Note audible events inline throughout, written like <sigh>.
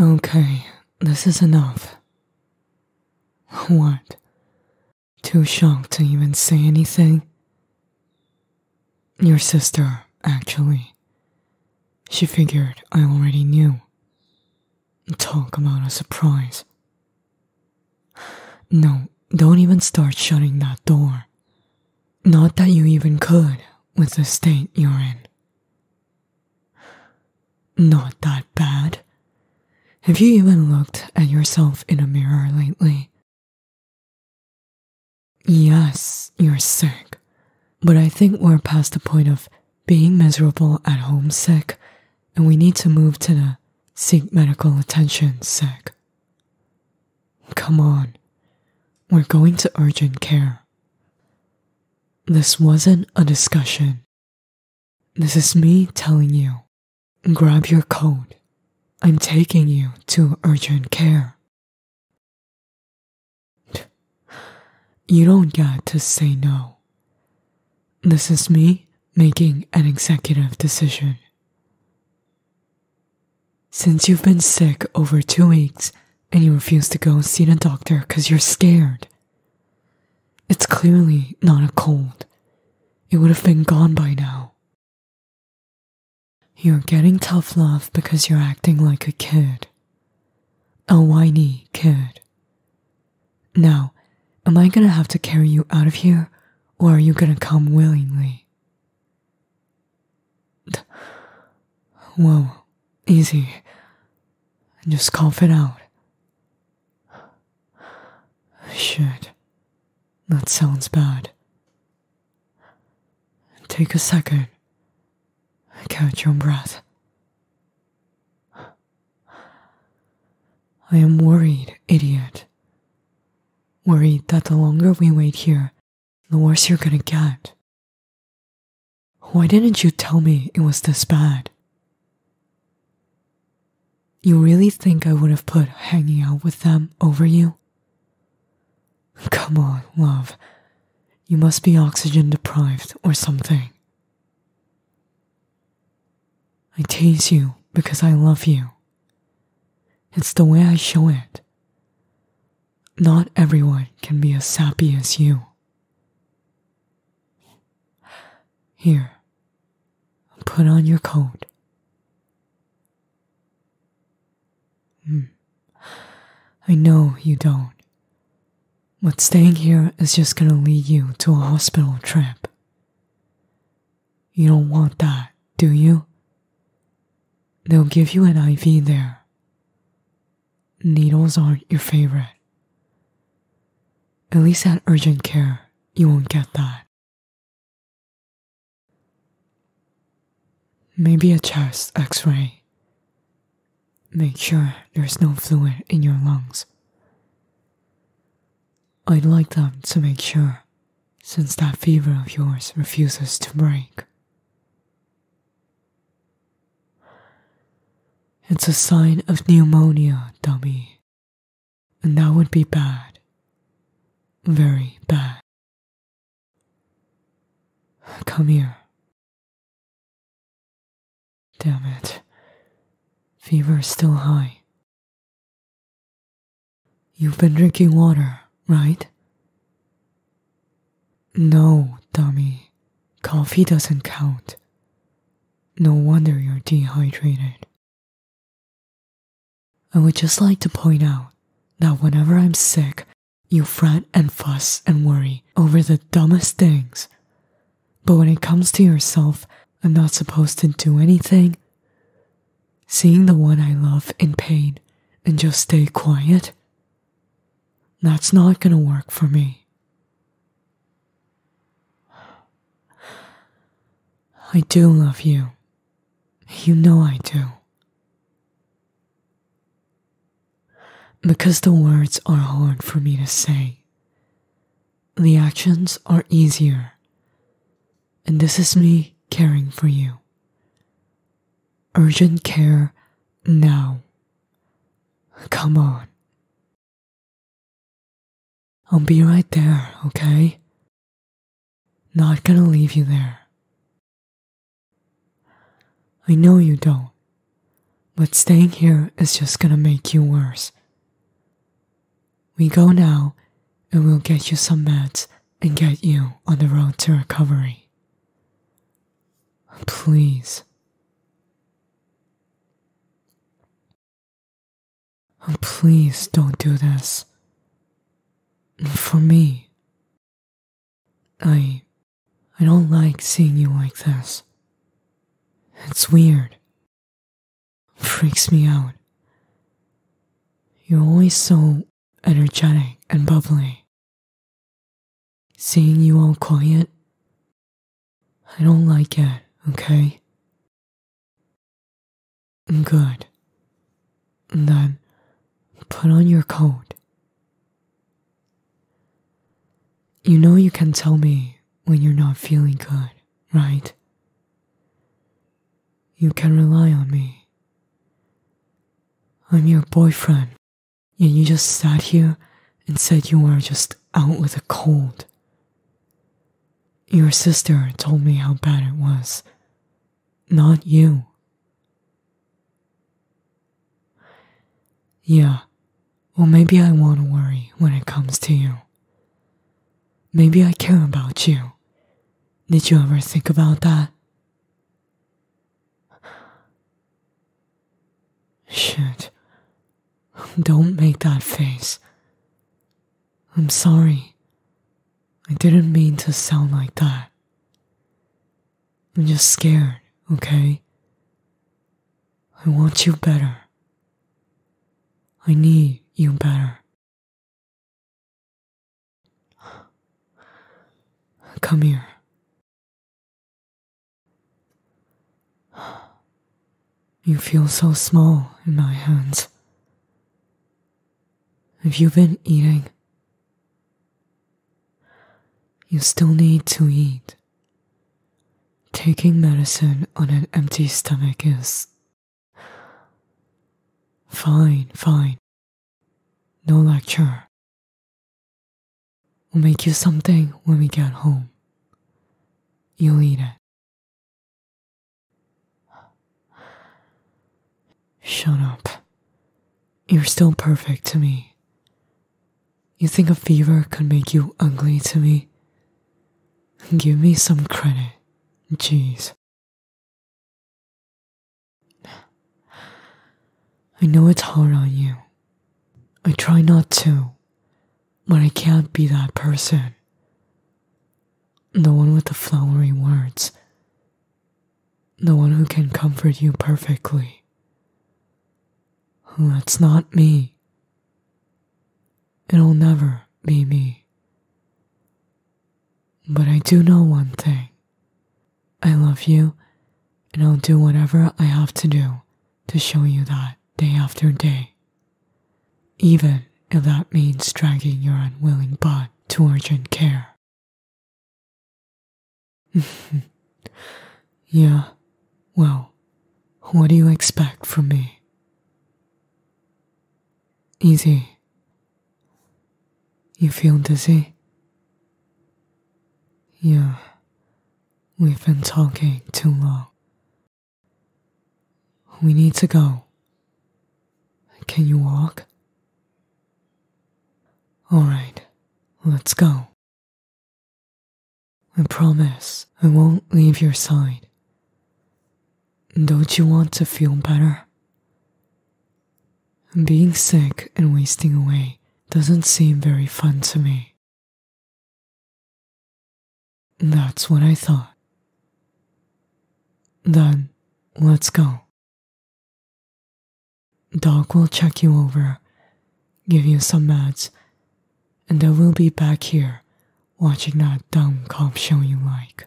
Okay, this is enough. What? Too shocked to even say anything? Your sister, actually. She figured I already knew. Talk about a surprise. No, don't even start shutting that door. Not that you even could with the state you're in. Not that bad. Have you even looked at yourself in a mirror lately? Yes, you're sick, but I think we're past the point of being miserable at home sick, and we need to move to the seek medical attention sick. Come on, we're going to urgent care. This wasn't a discussion. This is me telling you grab your coat. I'm taking you to urgent care. You don't get to say no. This is me making an executive decision. Since you've been sick over two weeks and you refuse to go and see the doctor because you're scared, it's clearly not a cold. It would have been gone by now. You're getting tough love because you're acting like a kid. A whiny kid. Now, am I gonna have to carry you out of here or are you gonna come willingly? <sighs> Whoa, easy. Just cough it out. <sighs> Shit, that sounds bad. Take a second. Catch your breath. <sighs> I am worried, idiot. Worried that the longer we wait here, the worse you're gonna get. Why didn't you tell me it was this bad? You really think I would have put hanging out with them over you? Come on, love. You must be oxygen deprived or something. I tease you because I love you. It's the way I show it. Not everyone can be as sappy as you. Here, put on your coat. Hmm. I know you don't, but staying here is just gonna lead you to a hospital trip. You don't want that, do you? They'll give you an IV there. Needles aren't your favorite. At least at urgent care, you won't get that. Maybe a chest x ray. Make sure there's no fluid in your lungs. I'd like them to make sure since that fever of yours refuses to break. It's a sign of pneumonia, dummy, and that would be bad. Very bad. Come here. Damn it. Fever is still high, You've been drinking water, right? No, Tommy. Coffee doesn't count. No wonder you're dehydrated. I would just like to point out that whenever I'm sick, you fret and fuss and worry over the dumbest things. But when it comes to yourself, I'm not supposed to do anything seeing the one I love in pain and just stay quiet? That's not gonna work for me. I do love you. You know I do. Because the words are hard for me to say, the actions are easier and this is me caring for you. Urgent care now. Come on. I'll be right there, okay? Not gonna leave you there. I know you don't, but staying here is just gonna make you worse. We go now, and we'll get you some meds and get you on the road to recovery. Please. Oh, Please don't do this. For me. I. I don't like seeing you like this. It's weird. Freaks me out. You're always so energetic and bubbly. Seeing you all quiet, I don't like it, okay? Good. then put on your coat. You know you can tell me when you're not feeling good, right? You can rely on me. I'm your boyfriend, and you just sat here and said you were just out with a cold. Your sister told me how bad it was, not you. Yeah, well, maybe I want to worry when it comes to you. Maybe I care about you. Did you ever think about that? Shit. Don't make that face. I'm sorry. I didn't mean to sound like that. I'm just scared, okay? I want you better. I need you better. Come here. You feel so small in my hands. Have you been eating? You still need to eat. Taking medicine on an empty stomach is Fine, fine. No lecture. We'll make you something when we get home. You'll eat it. Shut up. You're still perfect to me. You think a fever could make you ugly to me? Give me some credit. Jeez. I know it's hard on you. I try not to, but I can't be that person. The one with the flowery words. The one who can comfort you perfectly. That's not me. It'll never be me. But I do know one thing I love you, and I'll do whatever I have to do to show you that day after day. Even if that means dragging your unwilling butt to urgent care. <laughs> Yeah, well, what do you expect from me? Easy. You feel dizzy? Yeah, we've been talking too long. We need to go. Can you walk? Alright, let's go. I promise I won't leave your side. Don't you want to feel better? Being sick and wasting away doesn't seem very fun to me. That's what I thought. Then, let's go. Doc will check you over, give you some meds, and I will be back here watching that dumb cop show you like.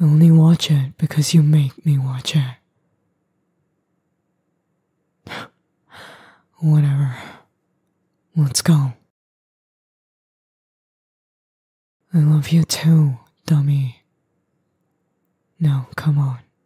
only watch it because you make me watch it. <sighs> Whatever. Let's go. I love you too, dummy. Now, come on.